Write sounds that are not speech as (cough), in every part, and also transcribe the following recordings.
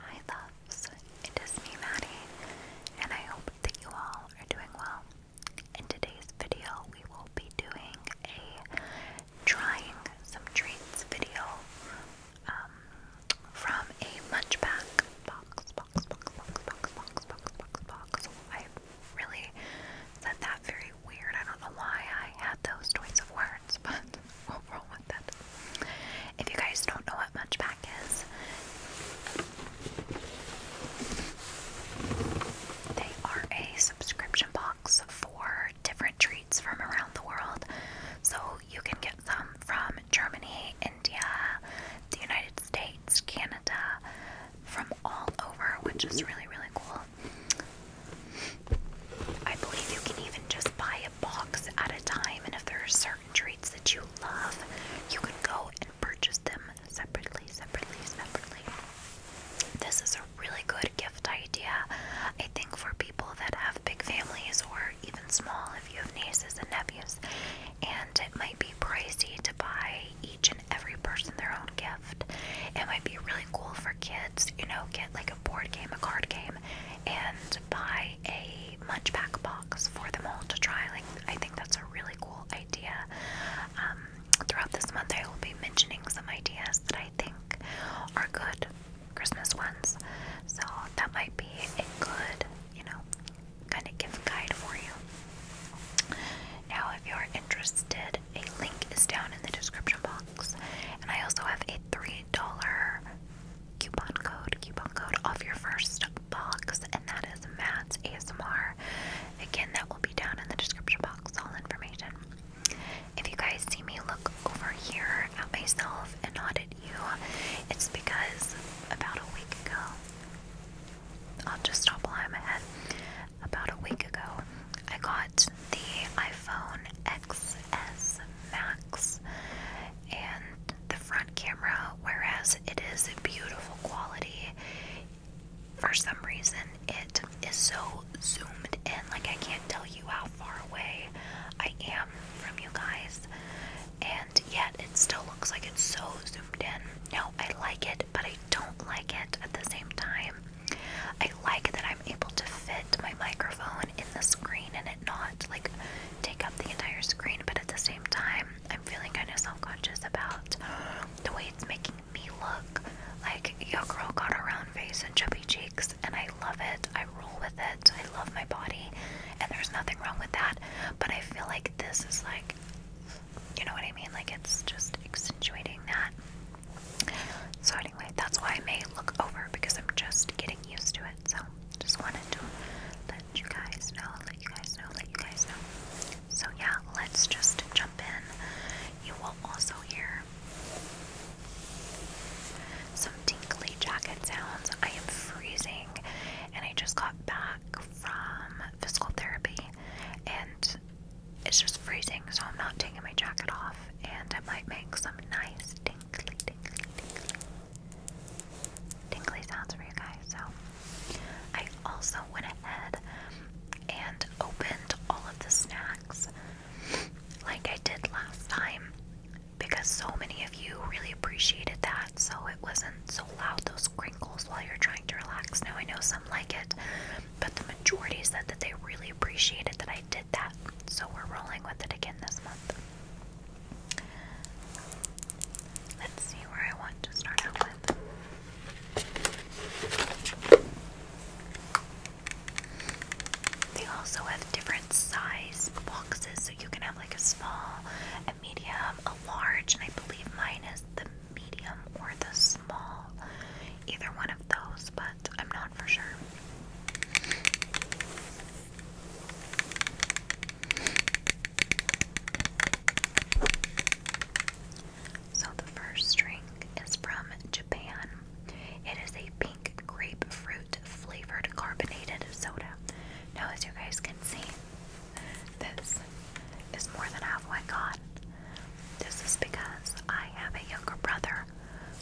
Hi loves, it is me Maddie, and I hope that you all are doing well. In today's video, we will be doing a trying some treats video um, from a munch pack box, box, box, box, box, box, box, box, box. I really said that very weird. I don't know why I had those choice of words, (laughs) but wrong with that. If you guys don't know what munchback is, they are a subscription box for different treats from around the world. So you can get them from Germany, India, the United States, Canada, from all over, which is really, really cool. I believe you can even just buy a box at a time time, and if there are certain treats that you love, you can go and purchase them separately, separately, separately. This is a really good gift idea, I think, for people that have big families or even small if you have nieces and nephews. And it might be pricey to buy each and every person their own gift. It might be really cool for kids, you know, get like a board game, a card game, and buy a munchback box for them all to try. Like, I think that's a really cool idea. Um, throughout this month, I will be mentioning some ideas that I think are good Christmas ones. So that might be a good, you know, kind of gift guide for you. Now, if you are interested, a link is down in the description box, and I also have a three dollar coupon code, coupon code off your first box, and that is Matt's ASMR. Again, that will be down in the description box, all information. If you guys see me look over here at myself and not at you, it's because about a week ago, I'll just stop lying my head. About a week ago, I got the iPhone XS Max, and the front camera, whereas it is a beautiful quality, for some reason it is so zoomed in. Like, I can't tell you how far away I am from you guys, and yet it still looks like it's so zoomed in. Now I like it, but I don't like it at the same time. I like that I'm able to fit my microphone in the screen and it not like take up the entire screen, but at the same time, I'm feeling kind of self conscious about the way it's making me look. Like, your girl got a round face and chubby cheeks, and I love it. I roll with it. I love my body, and there's nothing wrong with that. But I feel like this is like, you know what I mean? Like, it's just accentuating that. So, anyway, that's why I may look over because I'm just getting used to it. So, um, just wanted to let you guys know, let you guys know, let you guys know. So yeah, let's just jump in. You will also hear some tinkly jacket sounds. I am freezing and I just got back from physical therapy and it's just freezing so I'm not taking my jacket off and I might make some nice tinkly, tinkly, tinkly tingly sounds for you guys. So I also went ahead and opened all of the snacks like I did last time because so many of you really appreciated that. So it wasn't so loud those crinkles while you're trying to relax. Now I know some like it, but the majority said that they really appreciated that I did that. So we're rolling with it again this month. Let's see where I want to start out with. They also have different size boxes, so you can have like a small, a medium, a large, and I believe mine is the medium or the small. Either one of those, but I'm not for sure. So the first drink is from Japan. It is a pink grapefruit flavored carbonated soda. Now, as you guys can see, this is more than halfway gone. This is because I have a younger brother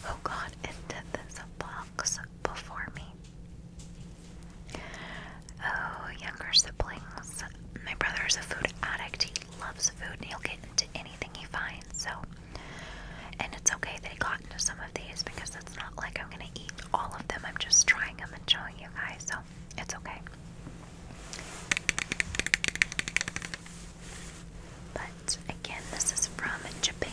who got into this box before me. Oh, younger siblings. My brother is a food addict. He loves food and he'll get into anything he finds. So, and it's okay that he got into some of these because it's not like I'm going to eat all of them. I'm just trying them and showing you guys. So, it's okay. But again, this is from Japan.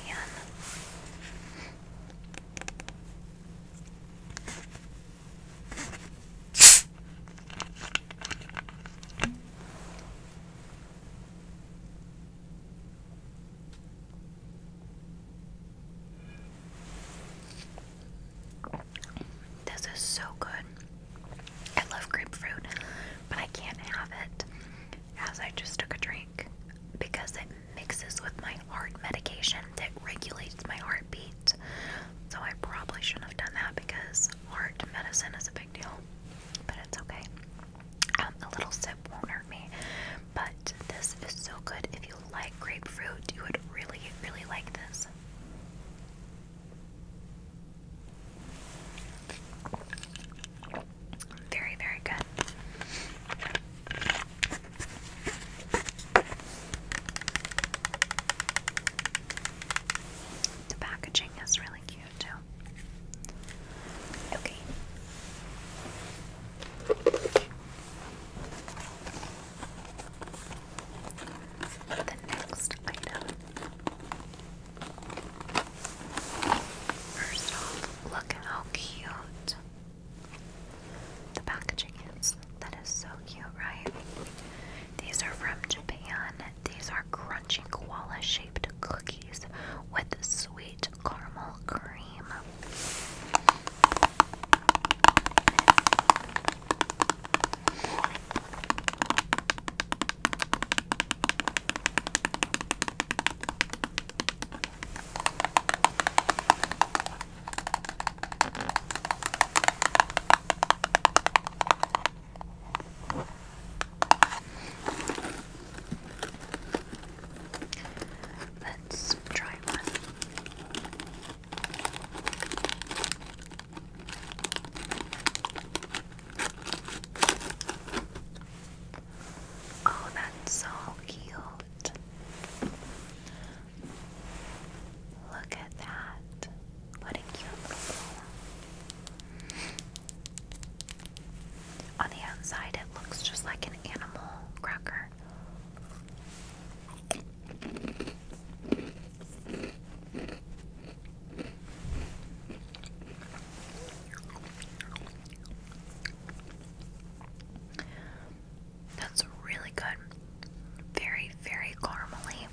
This is so good. I love grapefruit, but I can't have it as I just took a drink because it mixes with my heart medication that regulates my heartbeat. So I probably shouldn't have done that because heart medicine is a big deal, but it's okay. Um, a little sip won't hurt me. But this is so good. If you like grapefruit, you would really, really like this. Very, very good. The packaging is really cute, too. Okay. The next item. First off, look how cute the packaging is that is so cute, right? These are from Japan. These are crunchy koala shaped cookies with sweet caramel cream. Let's try one. Oh, that's so cute. Look at that. What a cute little On the outside, it looks just like an animal cracker. That's really good. Very, very caramely.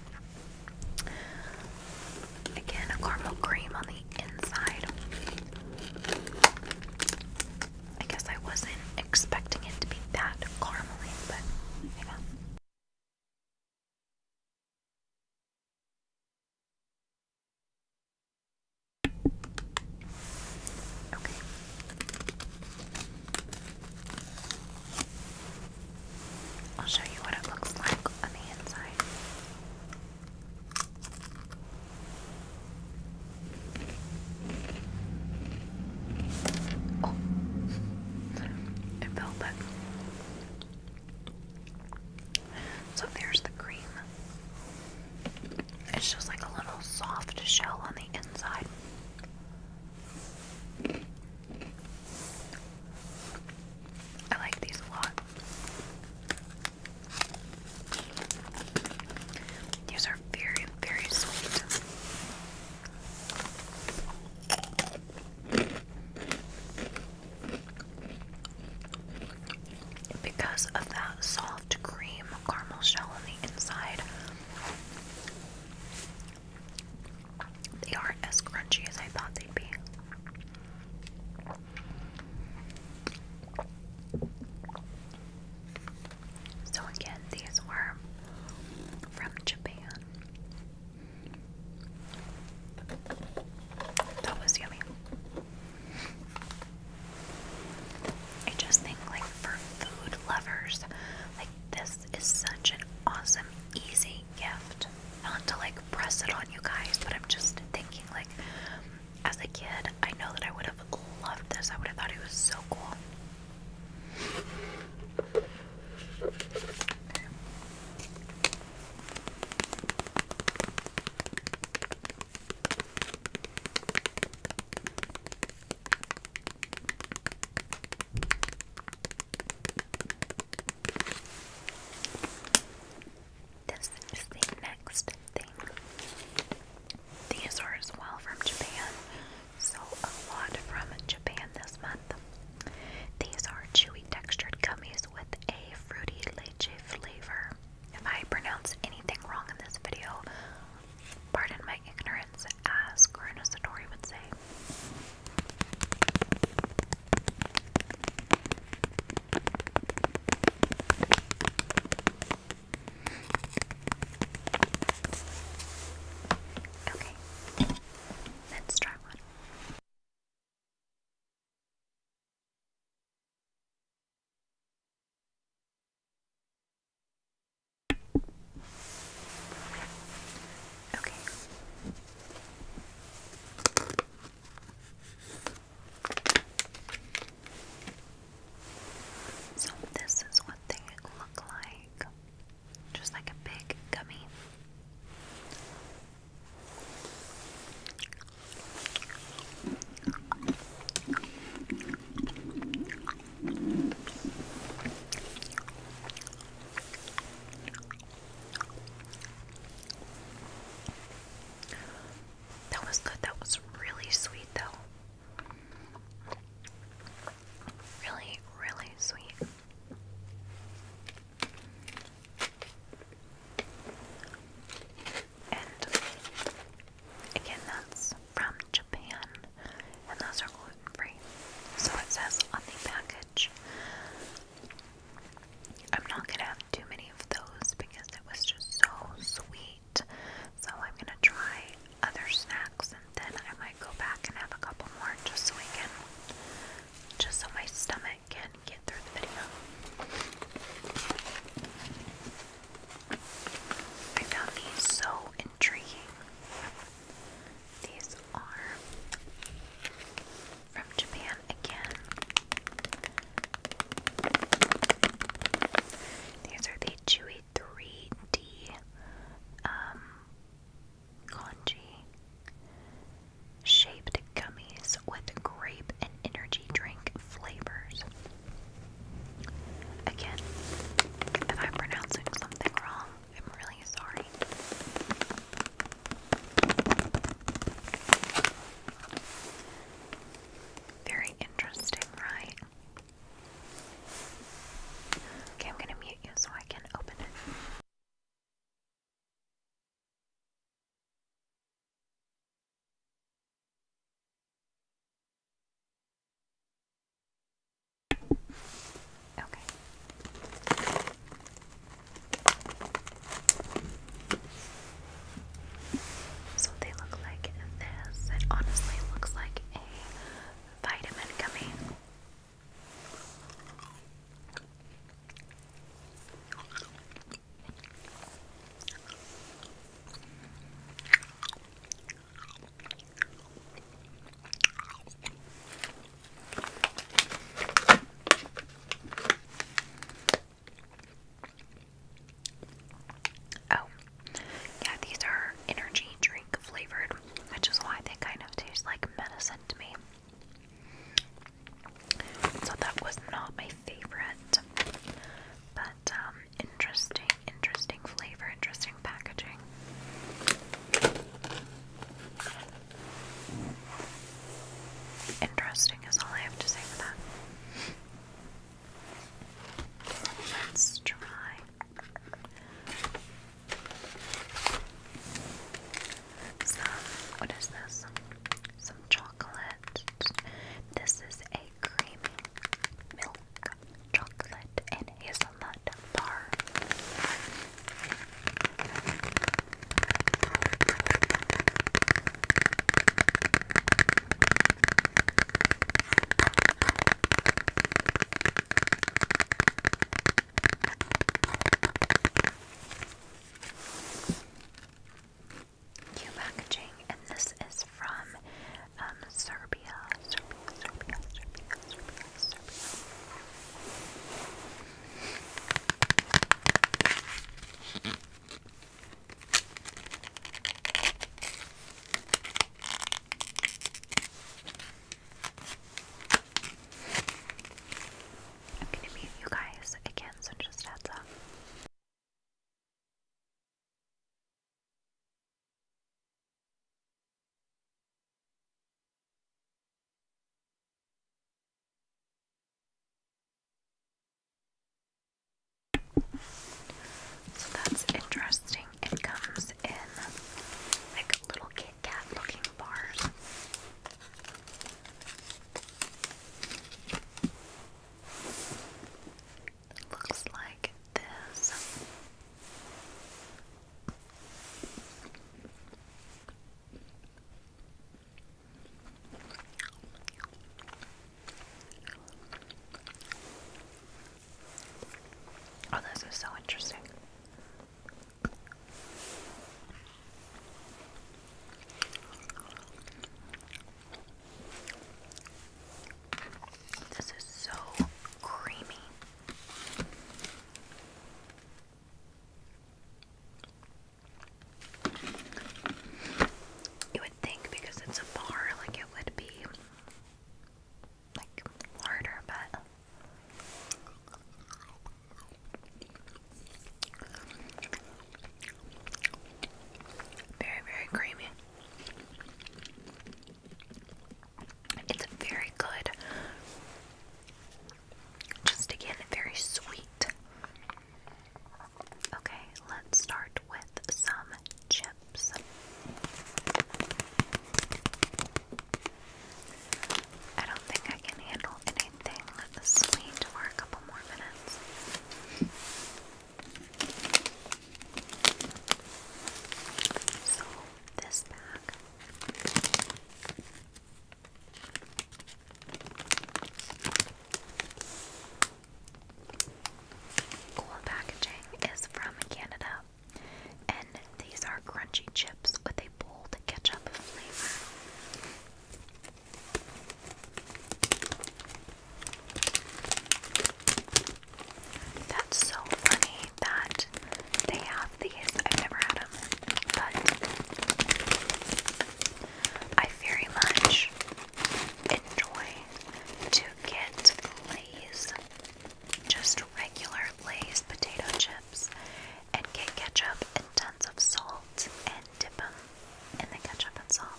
Again, a caramel cream on the inside. I guess I wasn't expecting it to be that caramely, but yeah. Okay. I'll show you what it looks like on the inside. Oh, it fell back. So there's the cream. It's just like a little soft shell on the inside. I like these a lot. These are very, very sweet because of that soft cream caramel shell on the inside. They are as crunchy as I thought they'd be. So, again, these were from Japan. That was yummy. I just think like for food lovers, like this is such an awesome, easy gift. Not to like press it on you guys, but I'm just thinking like as a kid, I know that I would have loved this. I would have thought it was so cool. This is the next thing. These are as well from Japan, so a lot from Japan this month. These are chewy textured gummies with a fruity leche flavor. If I pronounce anything wrong in this video, pardon my ignorance, as Karuna Satori would say. Okay, let's try one. Okay. So this is what they look like. Just like a big gummy. That was good. That was really sweet, though. Really, really sweet. And Again, that's from Japan, and those are gluten free. So it says on the package. I'm not gonna have too many of those because it was just so sweet. So I'm gonna try other snacks and then I might go back and have a couple more just so I can, just so my stomach can get through the video. I found these so intriguing. These are from Japan again. These are the Chewy 3D Kanji um, shaped gummies with grape energy drink flavors. Again, if i pronouncing something wrong, I'm really sorry. Very interesting, right? Okay, I'm going to mute you so I can open it. Okay. So they look like this. It honestly looks like a vitamin gummy. Oh, yeah, these are energy drink flavored, which is why they kind of taste like medicine to me. So that was not my favorite. But um, interesting, interesting flavor, interesting packaging. Interesting is all I have to say for that. Let's try. what is this? Some chocolate. This is a creamy milk chocolate and hazelnut bar new packaging, and this is from um, Serbia. I'm gonna mute you guys again, so just heads up. So that's interesting. It comes in like little Kit Kat looking bars. It looks like this. Oh, this is so interesting. This is so creamy. You would think because it's a bar, like it would be like harder, but very, very creamy. It's very good. Just again, very sweet. Okay, let's start with some chips. I don't think I can handle anything sweet for a couple more minutes. So this bag Cool packaging is from Canada, and these are crunchy chips with a bold ketchup flavor. That's so funny that they have these. I've never had them, but I very much enjoy to get Lay's, just regular Lay's potato chips, and get ketchup and tons of salt and dip them in the ketchup and salt.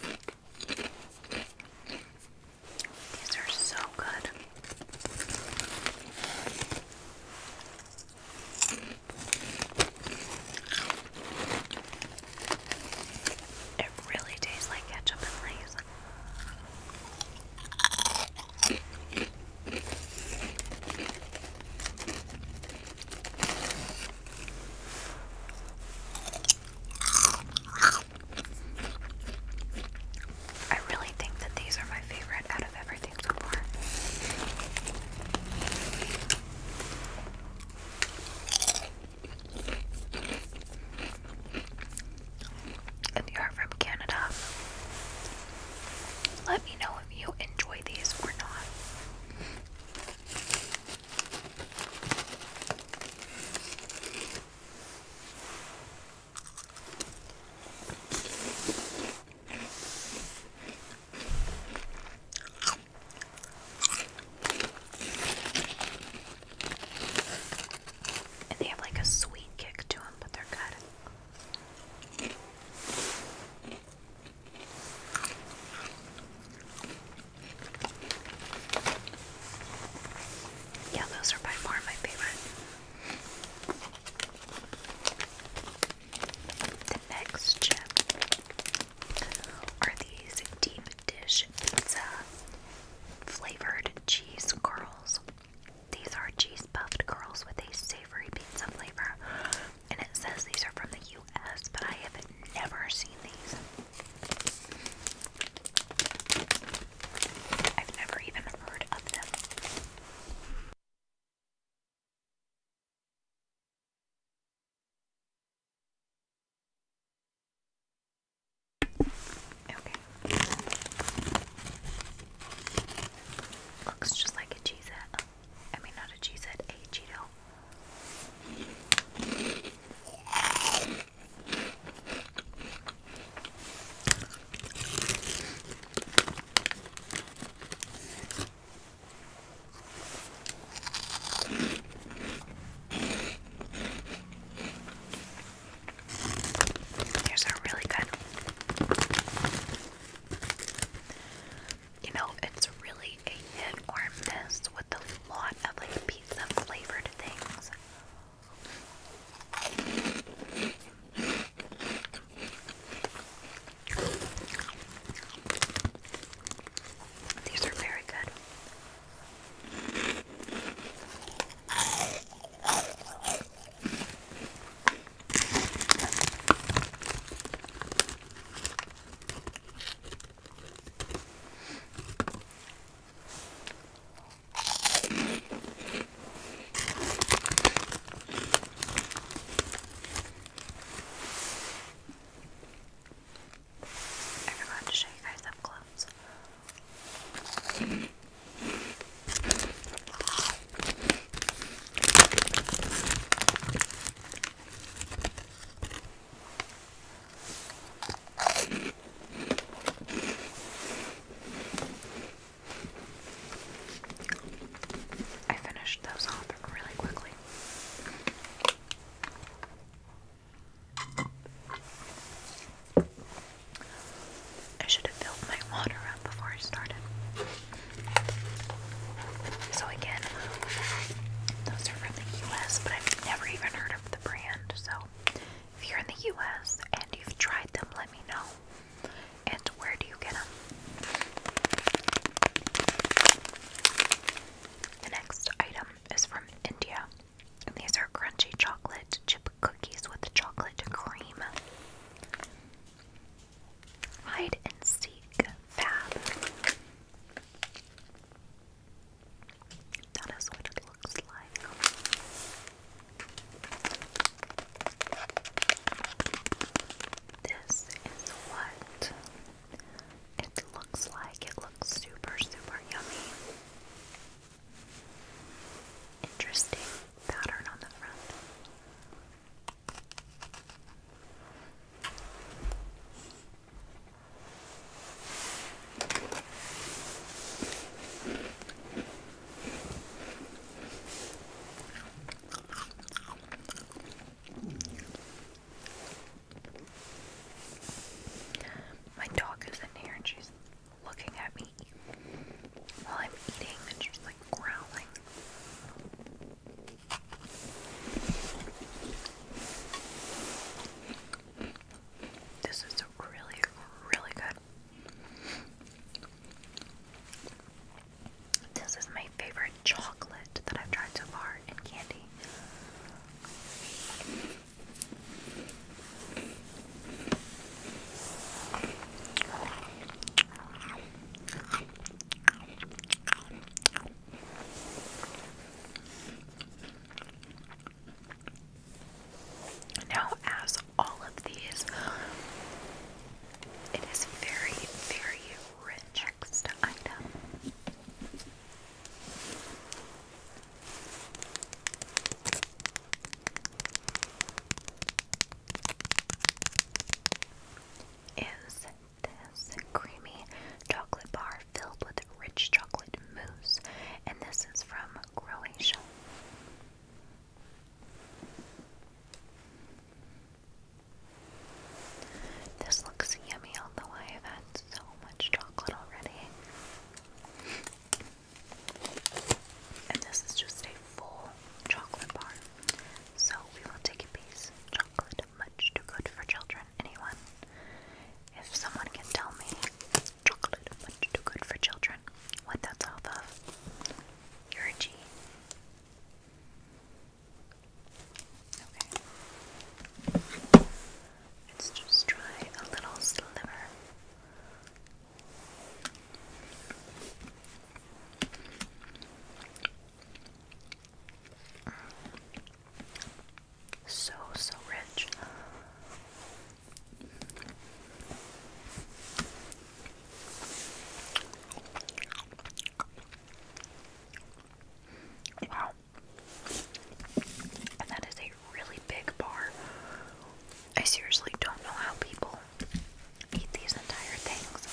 These are so good. It really tastes like ketchup and Lay's. I really think that these are my favorite out of everything so far. If you are from Canada, let me know if you enjoy these or not. And they have like a sweet kick to them, but they're good. Yeah, those are by far my favorite. The next chip are these deep dish pizza flavored cheese curls. These are cheese puffed curls with a savory pizza flavor and it says these are from the US, but I have never seen these. I've never even heard of them. Okay. Looks just like a cheese I mean, not a cheese head, a Cheeto. Here's a really good you know, it's really a hit or miss with a lot of like pizza flavored things. These are very good. I forgot to show you guys up close. I finished those off really quickly. I should have filled my water up before I started. So again, those are from the US, but I've never even heard of the brand. So if you're in the US and you've tried them, let me know. And where do you get them? The next item is from India. these are crunchy chocolate chip cookies with chocolate cream. Hide and seek fab. That is what it looks like. This is what it looks like. It looks super, super yummy. Interesting pattern on the front. My dog is in here and she's looking at me while I'm eating and she's like growling. This is really, really good. This is my favorite chocolate that I've tried so far in candy. Now, as all of these, it is very, very rich next item. Is this creamy chocolate bar filled with rich chocolate mousse, and this is from Croatia. This looks yummy, although I have had so much chocolate already. And this is just a full chocolate bar. So we will take a piece. Chocolate much too good for children. Anyone? If someone can tell me chocolate much too good for children, what that's off of, you're a G. Okay. Let's just try a little sliver. So, so rich. Wow. And that is a really big bar. I seriously don't know how people eat these entire things.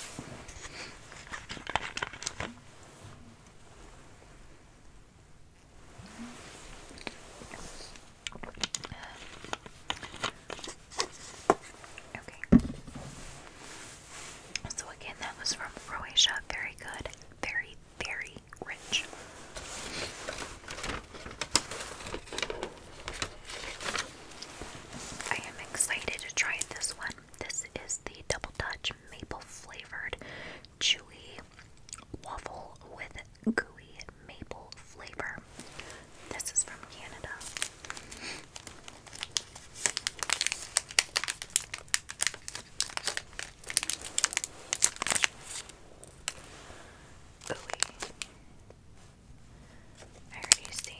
Okay. So again, that was from Croatia. Very good. Very, very rich. I am excited to try this one. This is the Double Touch maple flavored chewy waffle with gooey maple flavor. This is from Canada. Gooey. I already see.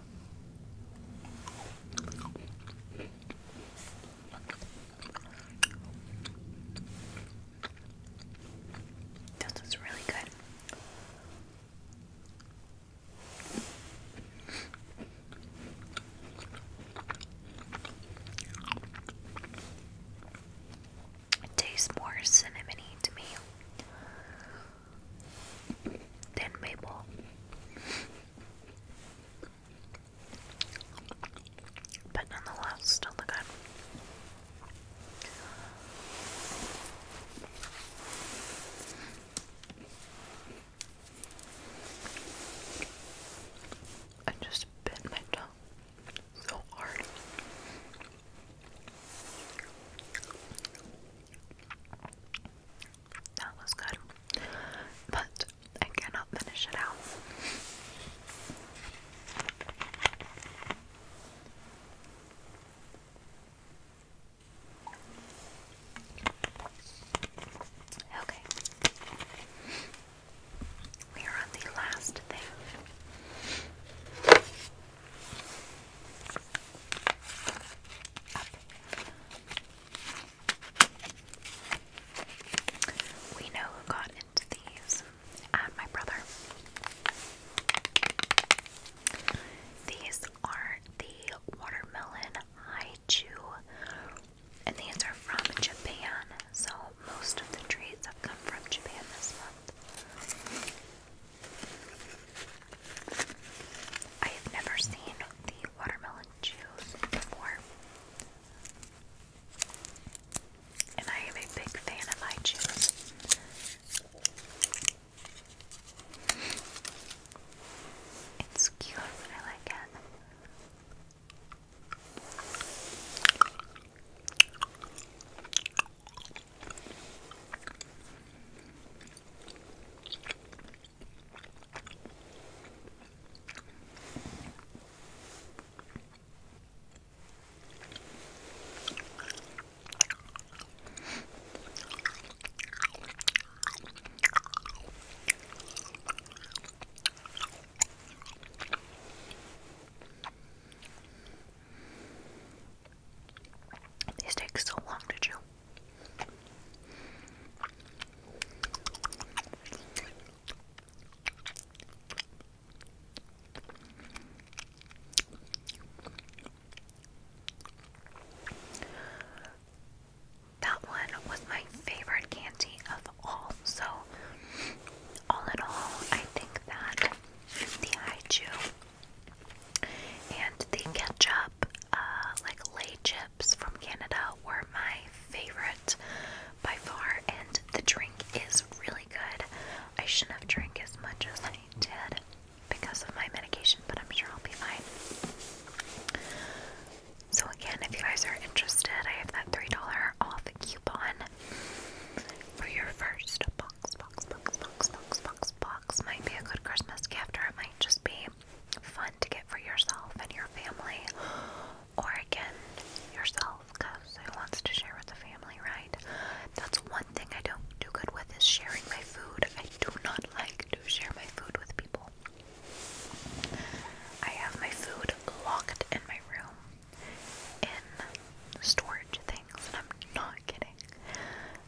This is really good. It tastes more cinnamony to me than maple. But nonetheless, still good. I just bit my tongue so hard. That was good. But I cannot finish it out. Okay. We are on the last thing. Up. We know who got into these, and uh, my brother. These are the watermelon Haichu, and these are from Japan. So most of the treats have come from Japan this month. I have never seen the watermelon juice before. And I am a big fan of eye juice. It's cute, I like it. These take so long to chew. That one was my favorite candy of all. So, all in all, I think that the Haiju and the Ketchup uh, like lay chips from Canada were my favorite by far, and the drink is really good. I shouldn't have drank as much as I did because of my medication, but I'm sure I'll be fine. So again, if you guys are interested, I have that three dollar off coupon for your first box, box, box, box, box, box, box. Might be a good Christmas gift, or it might just be fun to get for yourself and your family, or again, yourself, because who wants to share with the family, right? That's one thing I don't do good with is sharing my food. I do not like to share my food with people. I have my food locked in my room in storage things, and I'm not kidding